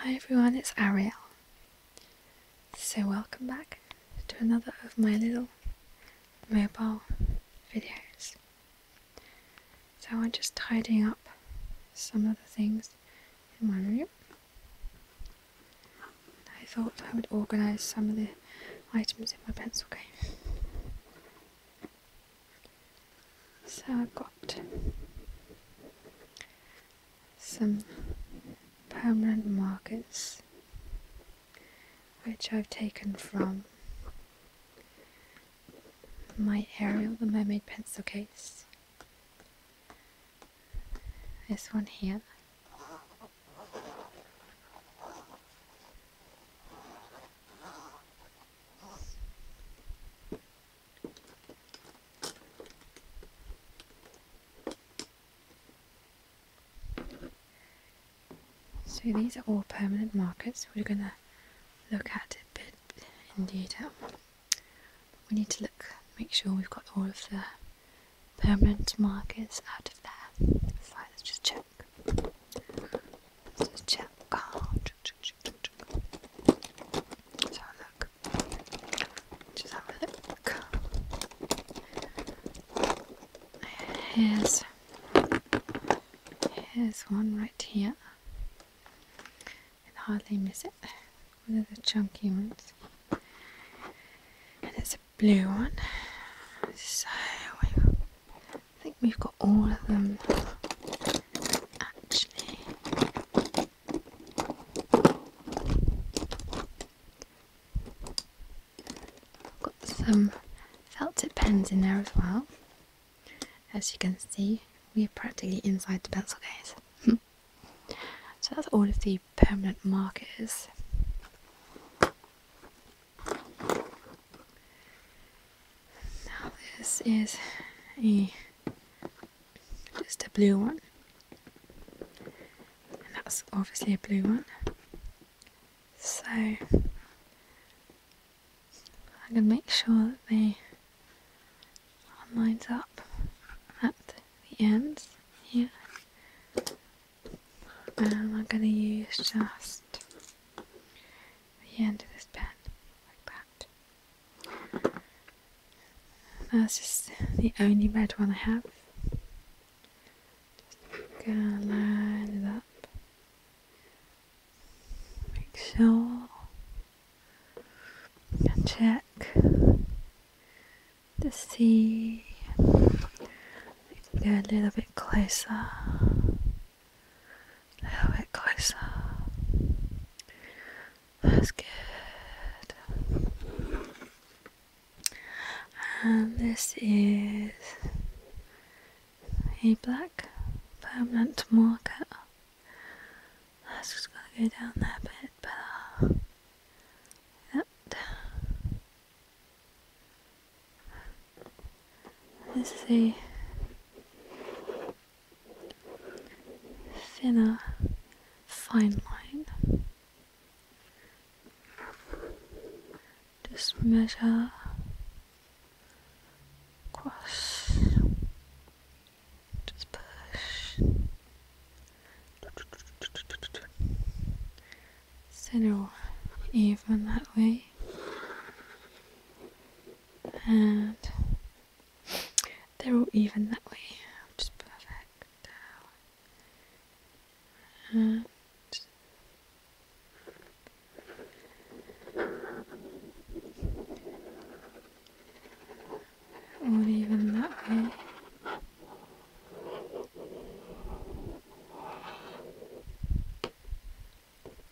Hi everyone, it's Ariel. So welcome back to another of my little mobile videos. So I'm just tidying up some of the things in my room. I thought I would organise some of the items in my pencil case. So I've got some permanent markers which I've taken from my Ariel the Mermaid pencil case. This one here. So these are all permanent markers. We're going to look at it a bit in detail. We need to look, make sure we've got all of the permanent markers out of there. let's just check. Let's just check Let's have look. Just have a look. Here's here's one right here. I can hardly miss it. One of the chunky ones. And it's a blue one. So I think we've got all of them got some felt tip pens in there as well. As you can see, we're practically inside the pencil case. so that's all of the permanent markers. Now this is a just a blue one. And that's obviously a blue one. So I'm gonna make sure that they are lined up at the ends here. And I'm gonna use just the end of this pen like that. That's just the only red one I have. Just gonna line it up. Make sure. And check to see. Go a little bit closer little bit closer. That's good. And this is a black permanent marker. That's just gonna go down that a bit better. Like that. Let's see. thinner fine line. Just measure across. Just push. Center even that way and they're all even that way, which perfect. And all even that way.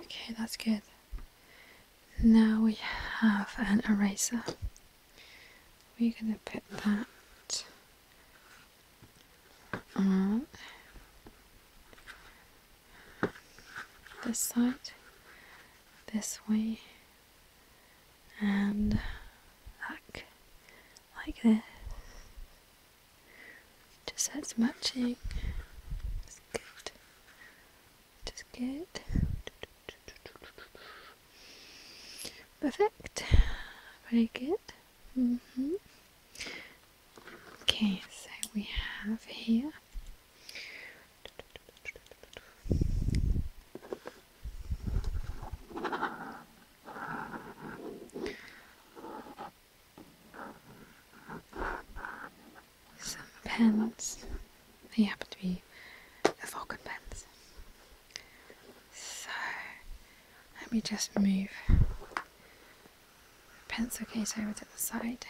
Okay, that's good. Now we have an eraser. We're going to put that uh, this side, this way, and back like this. Just so it's matching. It's good. Just good. Perfect. Very good. Mm-hmm. Okay, so we have here some pens. They happen to be the falcon pens. So let me just move pencil case over to the side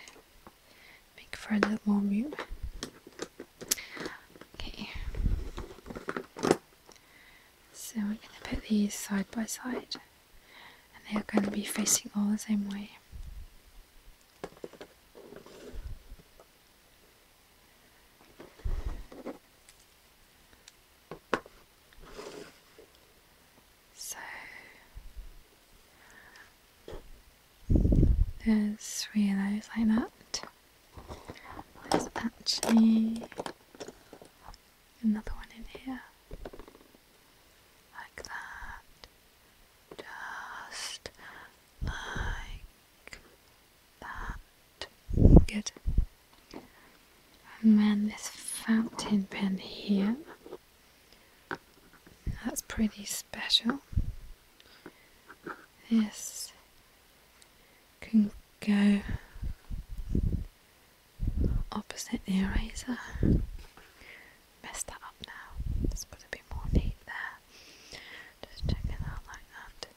make for a little more room okay so we're going to put these side by side and they are going to be facing all the same way so there's three of those like that. There's actually another one in here. Like that. Just like that. Good. And then this fountain pen here. That's pretty special. This can go opposite the eraser. Messed that up now. There's got to be more neat there. Just check it out like that.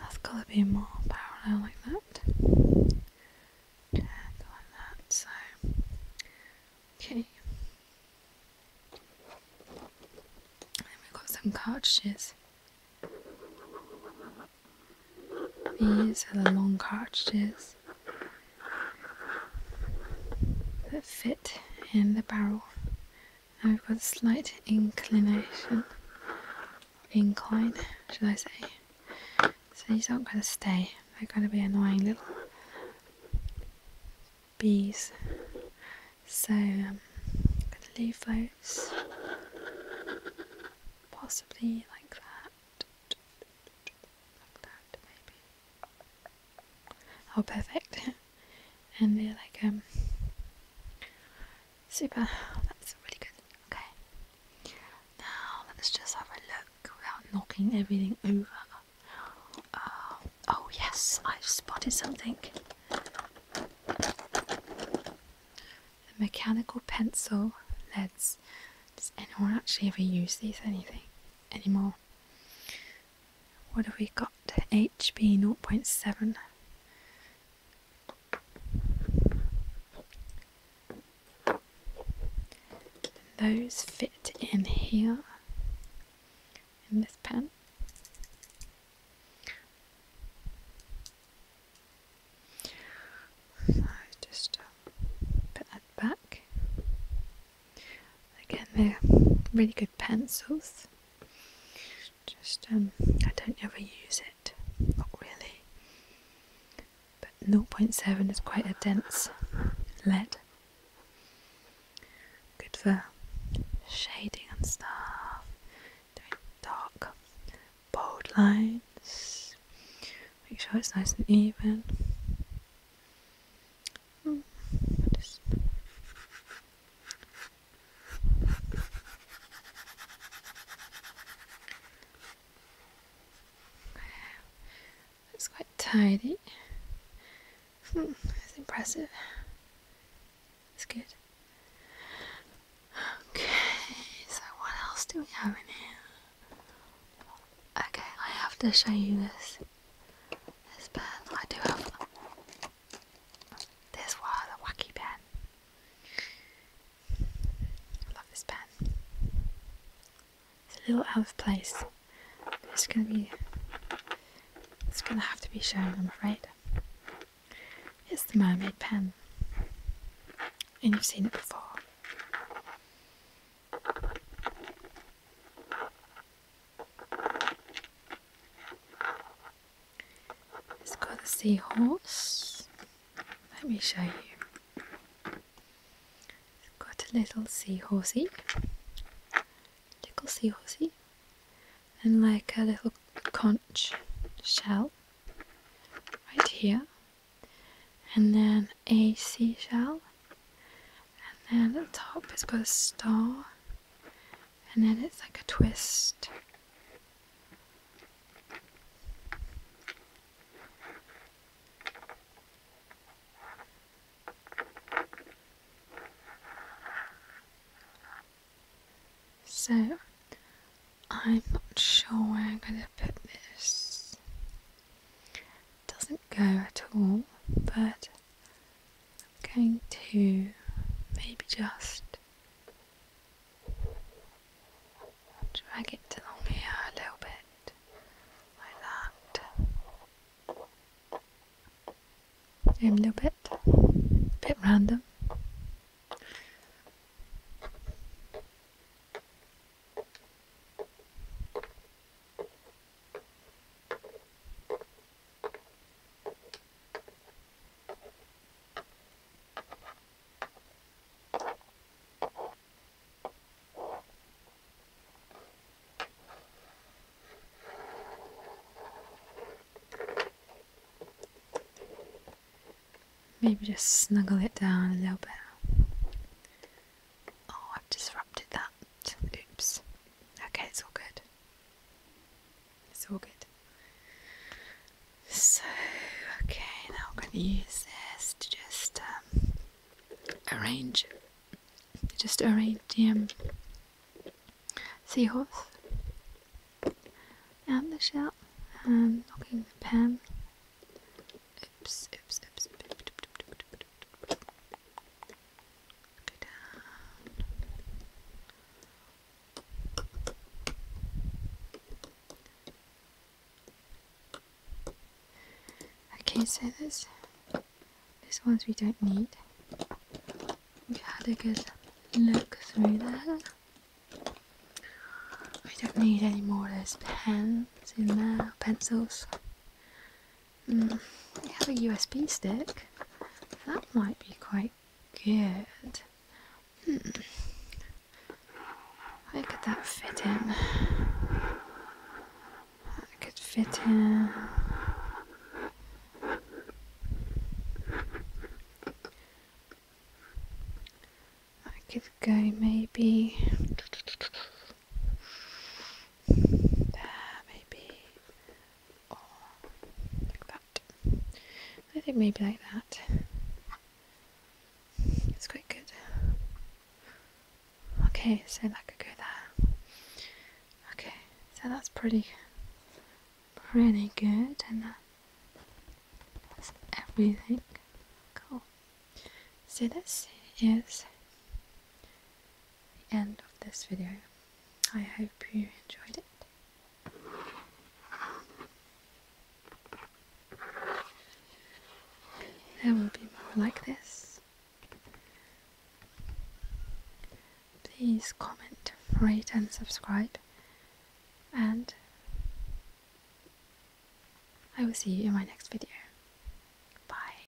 That's got to be more parallel like that. like that. So, okay. we've got some cartridges. These are the long cartridges that fit in the barrel. Now we've got a slight inclination incline, should I say. So these aren't going to stay, they're going to be annoying little bees. So I'm um, going to leave those possibly like that, like that maybe. Oh, perfect. and they're like um Super. that's really good. Okay. Now let's just have a look without knocking everything over. Uh, oh yes, I've spotted something. The mechanical pencil leads. Does anyone actually ever use these anything anymore? What have we got? HB 0.7 those fit in here in this pen. So just um, put that back. Again, they're really good pencils just um, I don't ever use it, not really. But 0.7 is quite a dense lead. Good for shading and stuff, doing dark, bold lines. Make sure it's nice and even. Hmm, it's quite tidy. Hmm, it's impressive. It's good. Okay, so what else do we have in here? Okay, I have to show you this. This bed. I do have this was a wacky pen. I love this pen. It's a little out of place. It's gonna be. It's gonna have to be shown, I'm afraid. It's the mermaid pen, and you've seen it before. It's got a seahorse. Let me show you. It's got a little seahorsey, little seahorsey, and like a little conch shell right here, and then a seashell, and then at the top it's got a star, and then it's like a twist. So I'm not sure where I'm going to put this. doesn't go at all, but I'm going to maybe just drag it along here a little bit like that. a little bit, a bit random. Maybe just snuggle it down a little bit. Oh, I've disrupted that. Oops. Okay, it's all good. It's all good. So, okay, now I'm going to use this to just um, arrange, just arrange the um, seahorse and the shell, and um, knocking the pen. Oops, oops, oops. Go down. Okay, so this there's ones we don't need. We had a good look through there. We don't need any more of those pens in there, pencils. I have a USB stick. That might be quite good. Hmm. Where could that fit in? That could fit in. I could go maybe there maybe, or like that. I think maybe like that. It's quite good. Okay, so that could go there. Okay, so that's pretty, pretty good, and that's everything. Cool. So this is the end of this video. I hope you enjoyed it. There will be more like this. Please comment, rate, and subscribe. And I will see you in my next video. Bye.